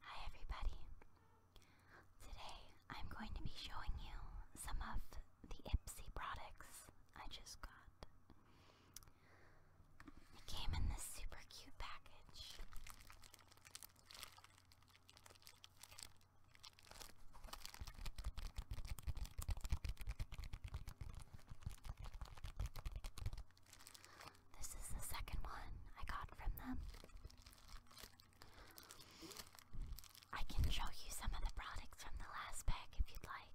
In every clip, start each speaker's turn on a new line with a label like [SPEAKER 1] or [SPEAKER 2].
[SPEAKER 1] Hi everybody. Today I'm going to be showing you some of the Ipsy products I just got. It came in this super cute package. This is the second one I got from them. I can show you some of the products from the last pack if you'd like.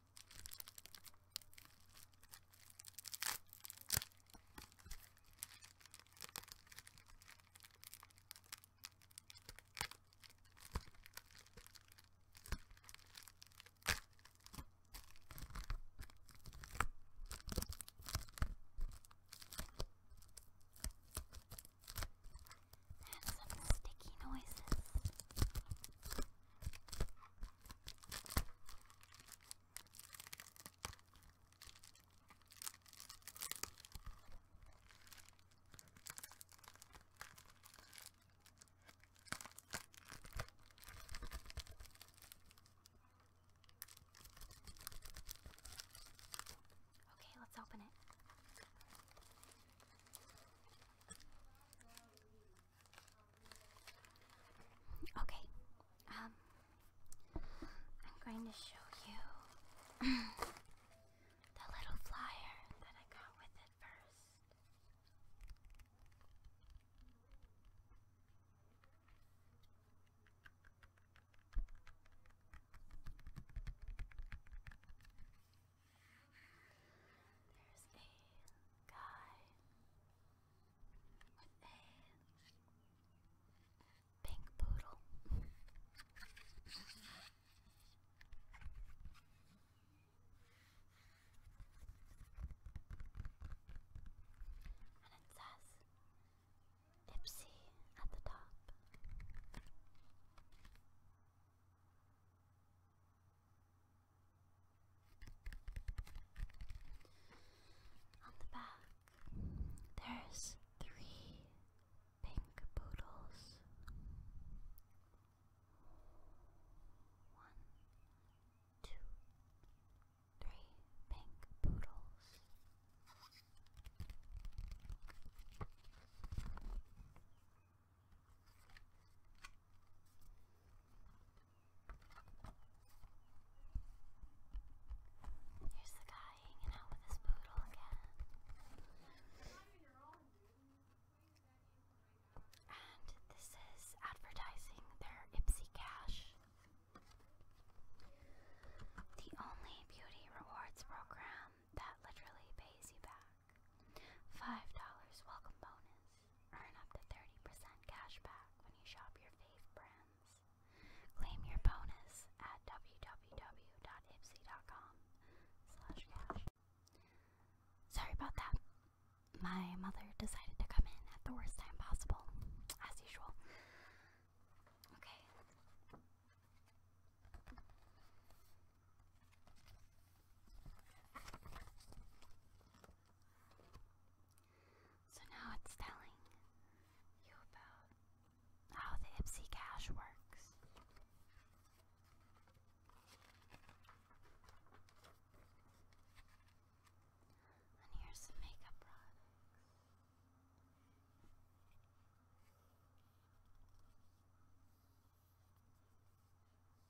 [SPEAKER 1] There's some sticky noises. Okay, let's open it. Okay. Um I'm going to show you the little flyer that I got with it first. There's a guy what a pink poodle. and it says Ipsy at the top. On the back, there's three pink poodles. One, two, three pink poodles. Here's the guy hanging out with his poodle again. And this is advertising their Ipsy Cash. The only beauty rewards program that literally pays you back. $5 welcome bonus. Earn up to 30% cash when you shop your fave brands. Claim your bonus at www.ipsy.com slash cash. Sorry about that. My mother decided to come in at the worst time possible, as usual. Okay. So now it's telling you about how the Ipsy Cash works. And here's some makeup products.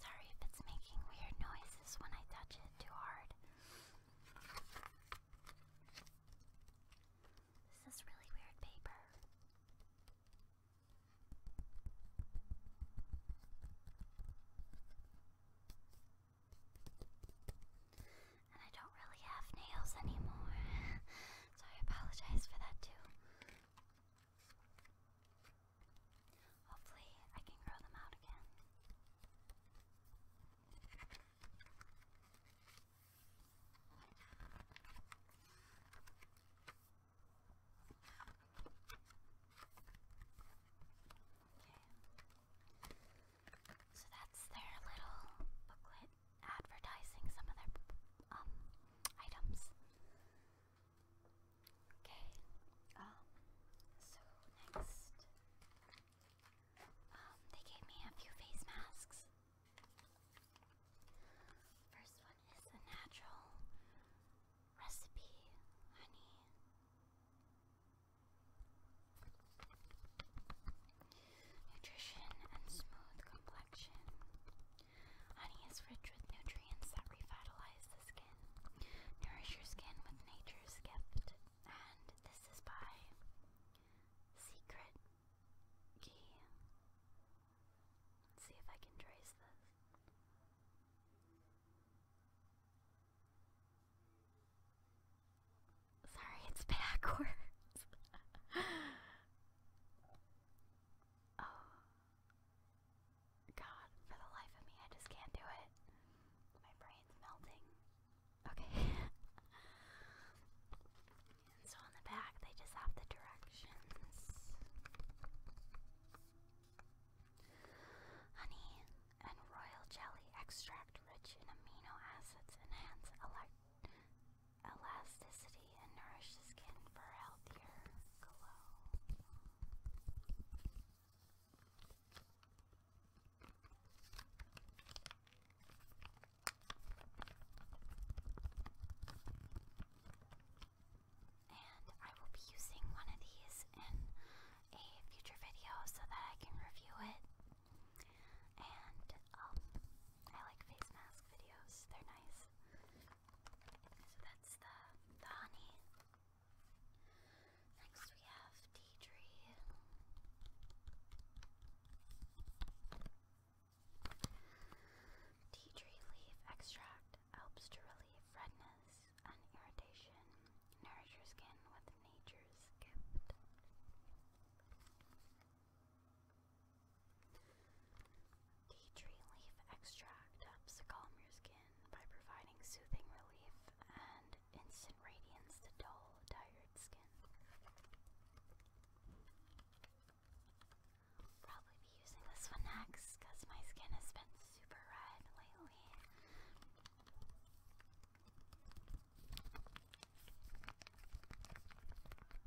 [SPEAKER 1] Sorry if it's making weird noises when I touch it too hard. This is really weird paper. And I don't really have nails anymore, so I apologize for that too. Hopefully, I can grow them out again. Okay. So that's their little booklet advertising some of their um items. Okay. Um. So next, um, they gave me a few face masks. First one is a natural recipe honey. Nutrition and smooth complexion. Honey is rich with nutrients that revitalize the skin. Nourish your skin with nature's gift. And this is by Secret Key. see if I can trace this. Sorry, it's backwards. oh, God, for the life of me, I just can't do it. My brain's melting. Okay. so on the back, they just have the directions. Honey and royal jelly extract rich in amino acids enhance elect elasticity and nourish the skin for a healthier glow. And I will be using one of these in a future video so that I can review it. And um, I like face mask videos, they're nice. So that's the, the honey. Next we have tea tree. Tea tree leaf extract helps to relieve redness and irritation, nourish your skin with nature's gift. Tea tree leaf extract helps to calm your skin by providing soothing relief and instant radiance to dull, tired skin. probably be using this one next because my skin has been super red lately.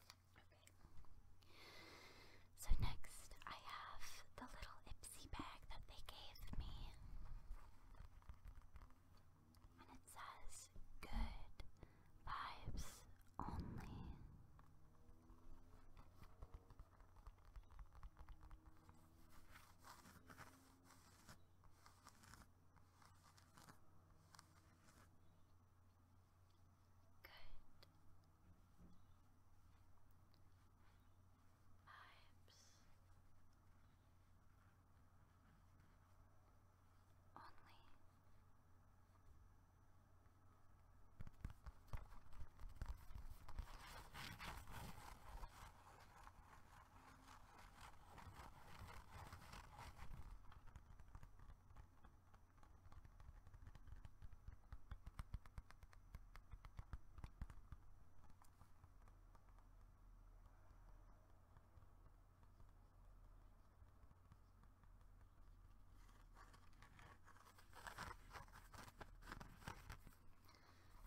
[SPEAKER 1] Okay. So next I have the little Ipsy bag that they gave me. And it says good vibes only. Good. Vibes. Only.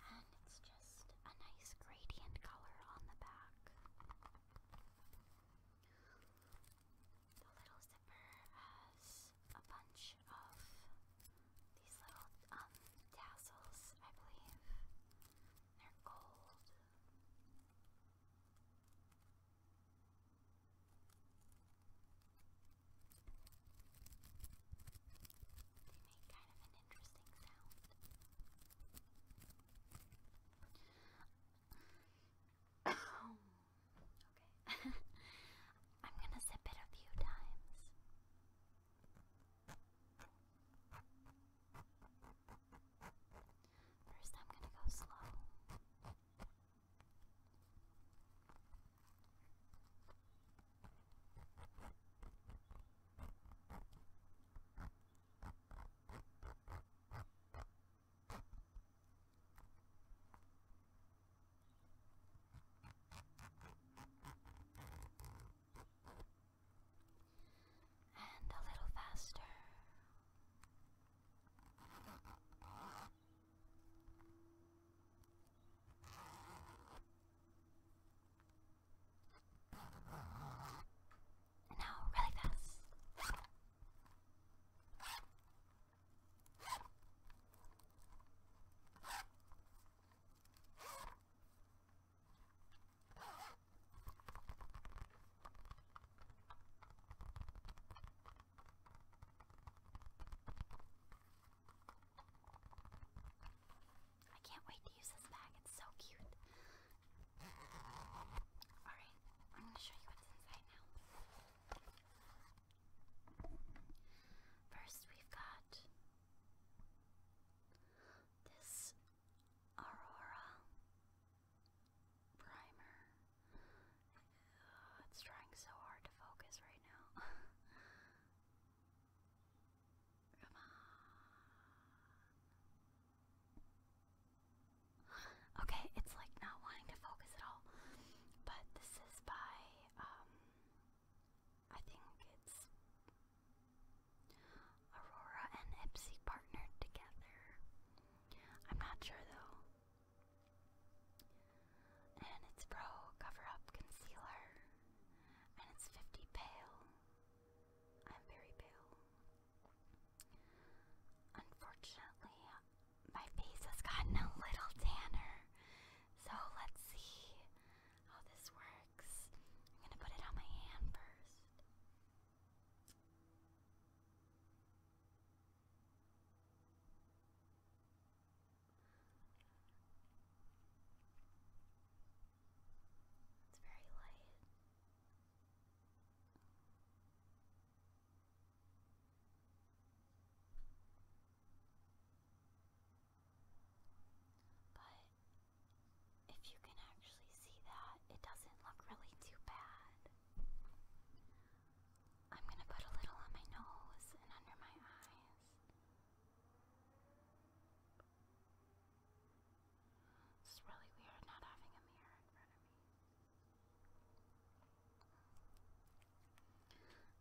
[SPEAKER 1] And it's just a nice gradient color on the back. The little zipper has a bunch of these little um, tassels, I believe. They're gold. They make kind of an interesting sound okay. I'm gonna sip it a few times. First, I'm gonna go slow. And a little faster. No, really fast. I can't wait to use this bag, it's so cute. Alright, I'm going to show you what's inside now. First, we've got this Aurora primer. it's trying so hard to focus right now. Come on. Okay, it's like not wanting to focus at all. But this is by, um, I think it's Aurora and Ipsy partnered together. I'm not sure though. And it's Pro Cover Up Concealer. And it's 50 Pale. I'm very pale. Unfortunately, my face has gotten a little tanner. So let's see how this works. I'm gonna put it on my hand first. It's very light. But if you can actually see that, it doesn't look really too bad. I'm gonna put a little on my nose and under my eyes. It's really weird not having a mirror in front of me.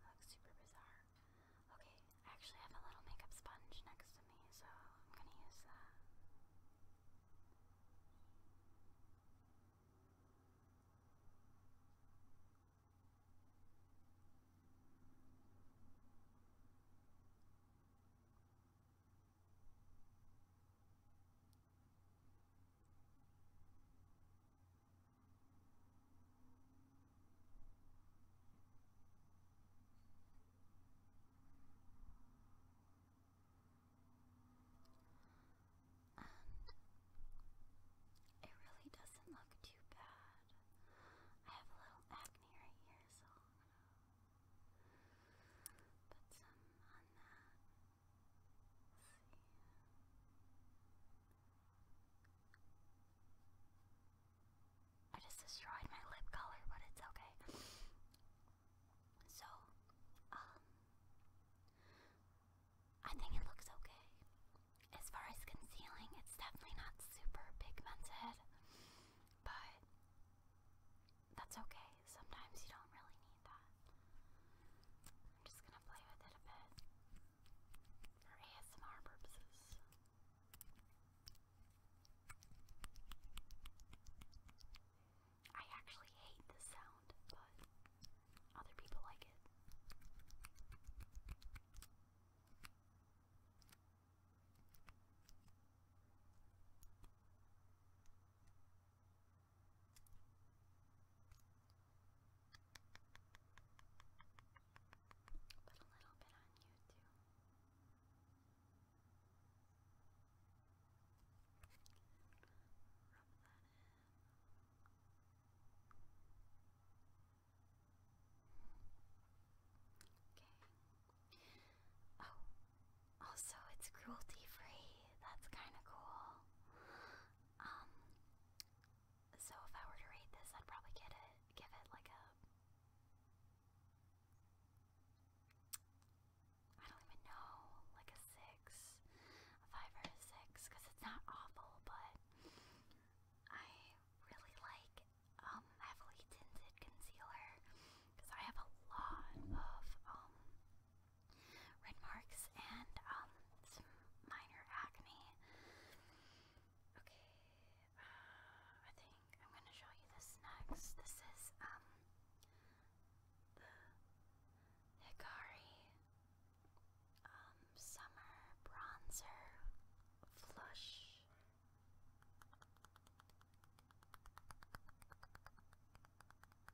[SPEAKER 1] That looks super bizarre. Okay, I actually have a little makeup sponge next to me, so I'm gonna use that. And it really doesn't look too bad. I have a little acne right here, so. Put some on that. I just destroyed my lip color, but it's okay. So, um, I think it looks okay. As far as concealing, it's definitely not super pigmented, but that's okay. Sometimes you don't really need that. I'm just gonna play with it a bit for ASMR purposes. I actually hate this sound, but other people like it. But a little bit on you too. Rub that in. Okay. Oh, also, it's cruelty free that's kind of cool. Um, so if I were to rate this, I'd probably get it, give it like a. I don't even know, like a six, a five or a six, because it's not awful, but I really like um, heavily tinted concealer I have a lot of um red marks and um some minor acne. Okay, uh, I think I'm gonna show you this next. This is um the Hikari um, summer bronzer flush.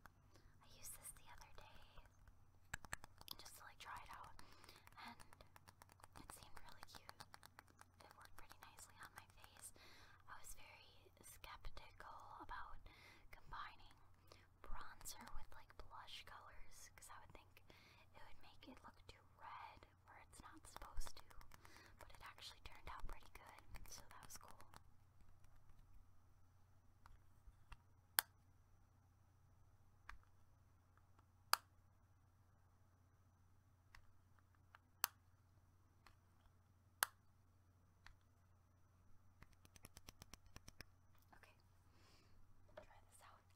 [SPEAKER 1] I used this the other day just to like try it out, and it seemed really cute. It worked pretty nicely on my face. I was very skeptical about combining bronzer with like blush colors because I would think it would make it look too red where it's not supposed to, but it actually turned out pretty good, so that was cool. Okay, try this out.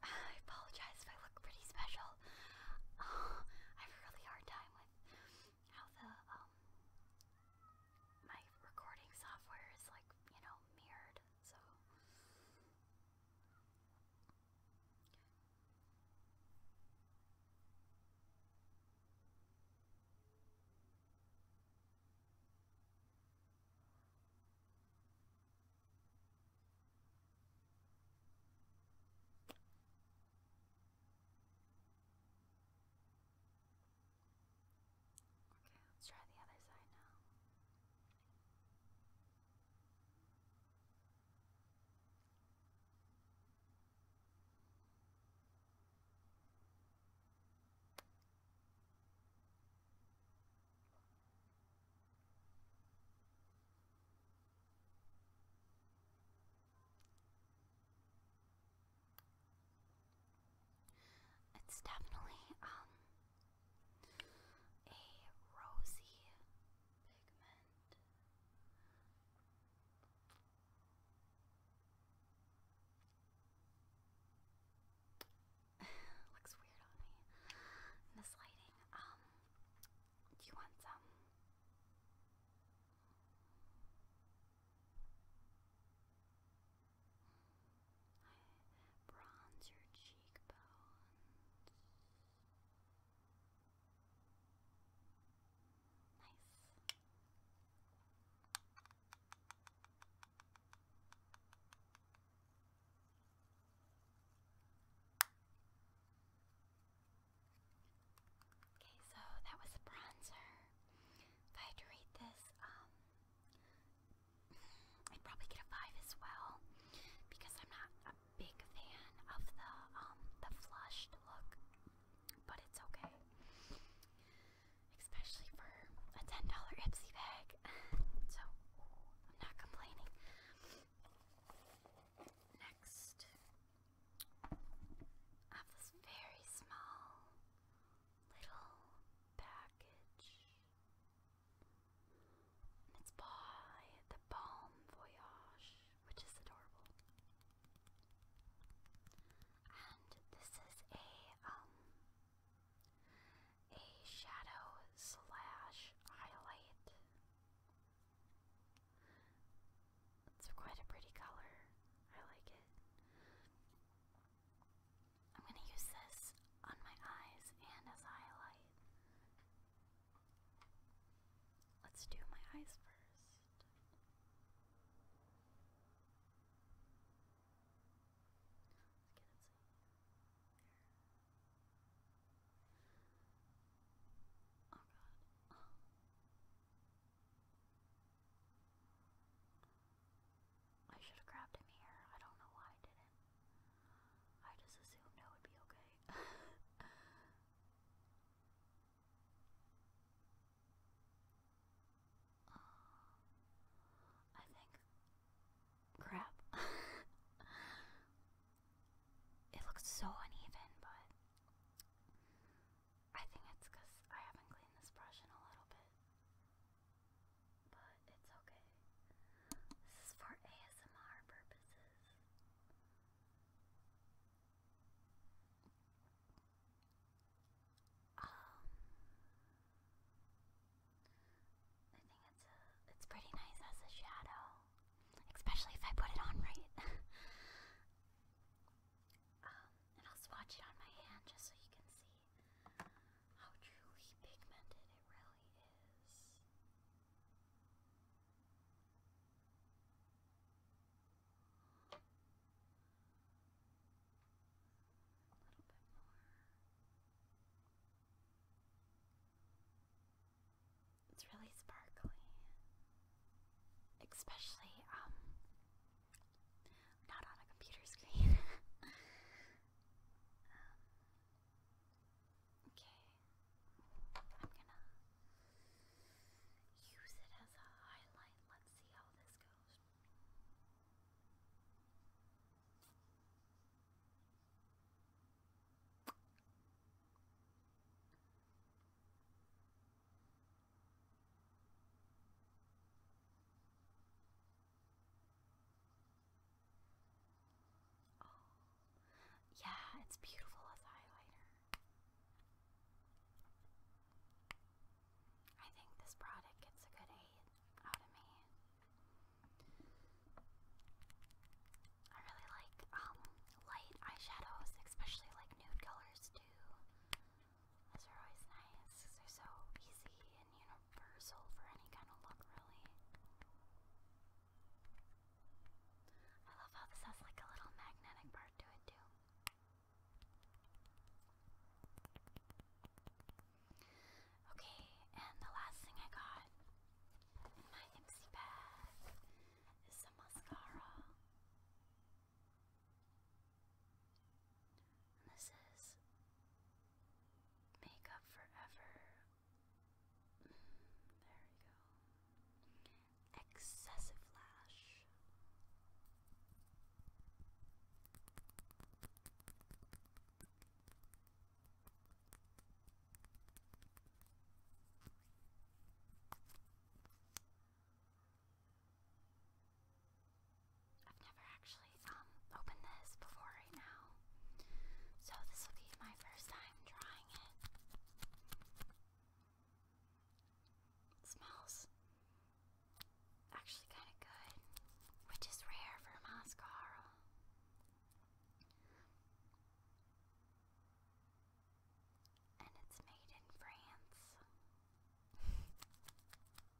[SPEAKER 1] I apologize if I look pretty special. I have a really hard time with how the um my recording software is like, you know, mirrored, so. Okay, let's try the other side now. It's definitely um a rosy pigment. Looks weird on me this lighting. Um, do you want some? Bronze your cheekbones. Nice. Okay, so that was bronzer. If I had to rate this, um, I'd probably get a five as well because I'm not a big fan of the um the flushed look, but it's okay. Especially for a ten dollar Ipsy bag, so I'm not complaining. Next, I have very small little package. it's by the Balm Voyage, which is adorable. And this is a um a shadow slash highlight. It's quite a pretty color. I like it. I'm going to use this on my eyes and as a highlight. Let's do my eyes first. Let's get it so Oh god. I should have grabbed him here. I don't know why I didn't. I just assumed that would be okay. Uh, I think. Crap. it looks so uneven, but I think it's I haven't cleaned this brush in a little bit but it's okay. This is for ASMR purposes. Um, I think it's a, it's pretty nice as a shadow, especially if I put it on right. um, and I'll swatch it on my hand just so you can see how truly pigmented it really is. A little bit more. It's really sparkly. Especially, um, not on a computer screen. okay. I'm gonna use it as a highlight. Let's see how this goes. Okay. Oh, yeah, it's beautiful as highlighter. I think this product gets a good 8 out of me. I really like um, light eyeshadows, especially like nude colors too. Those are always nice they're so easy universal for any kind of look, really. I love how this has like a little magnetic part to it, too. Okay, and the last thing I got in my Ipsy bag is some mascara. this is Makeup Forever. There we go. Excessive Lash. I've never actually um, opened this before right now, so this will be my first time trying it smells actually kind of good, which is rare for mascara. And it's made in France.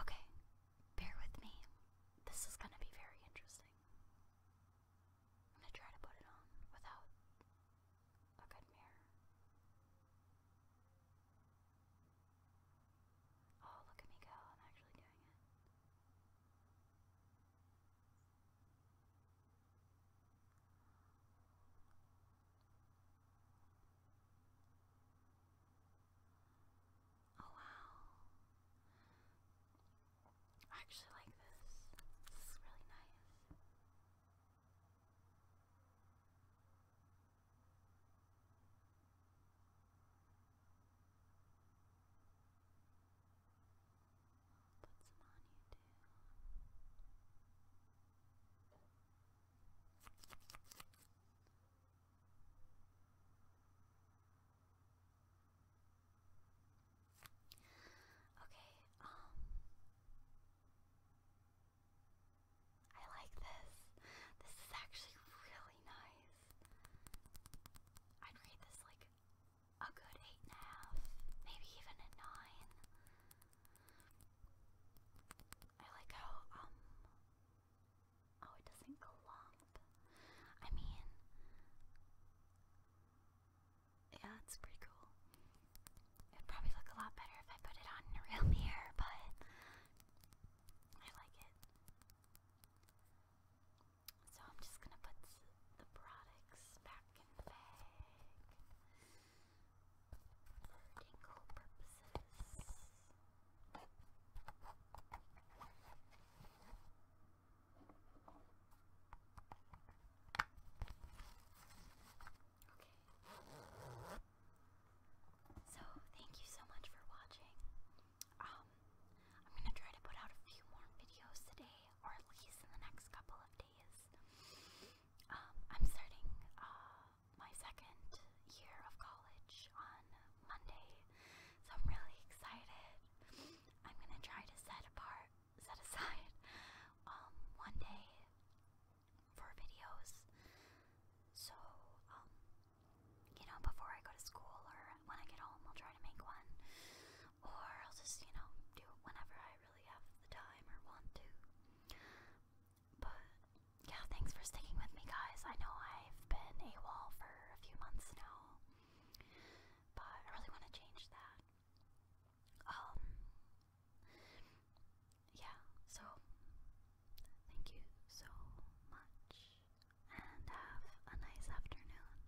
[SPEAKER 1] Okay, bear with me. This is going to be very interesting. I'm going to try to put it on without a good mirror. Oh, look at me go. I'm actually doing it. Oh wow. I actually like this. This is really nice. Put you Okay, um I like this. This is actually really nice. I'd rate this like a good eight and a half, maybe even a nine. I like how um oh it doesn't clump. I mean yeah, it's pretty cool. It'd probably look a lot better if I put it on in a real mirror, but I like it. So I'm just gonna put the products back in the bag for tingle purposes. Okay. So thank you so much for watching. Um, I'm gonna try to put out a few more videos today, or at least in the next couple of um, I'm starting uh, my second year of college on Monday, so I'm really excited. I'm gonna try to set apart, set aside um, one day for videos. So, um, you know, before I go to school or when I get home, I'll try to make one or I'll just, you know, do it whenever I really have the time or want to. But yeah, thanks for sticking with me, guys. I know I've been AWOL for a few months now, but I really want to change that. Um, yeah, so thank you so much and have a nice afternoon.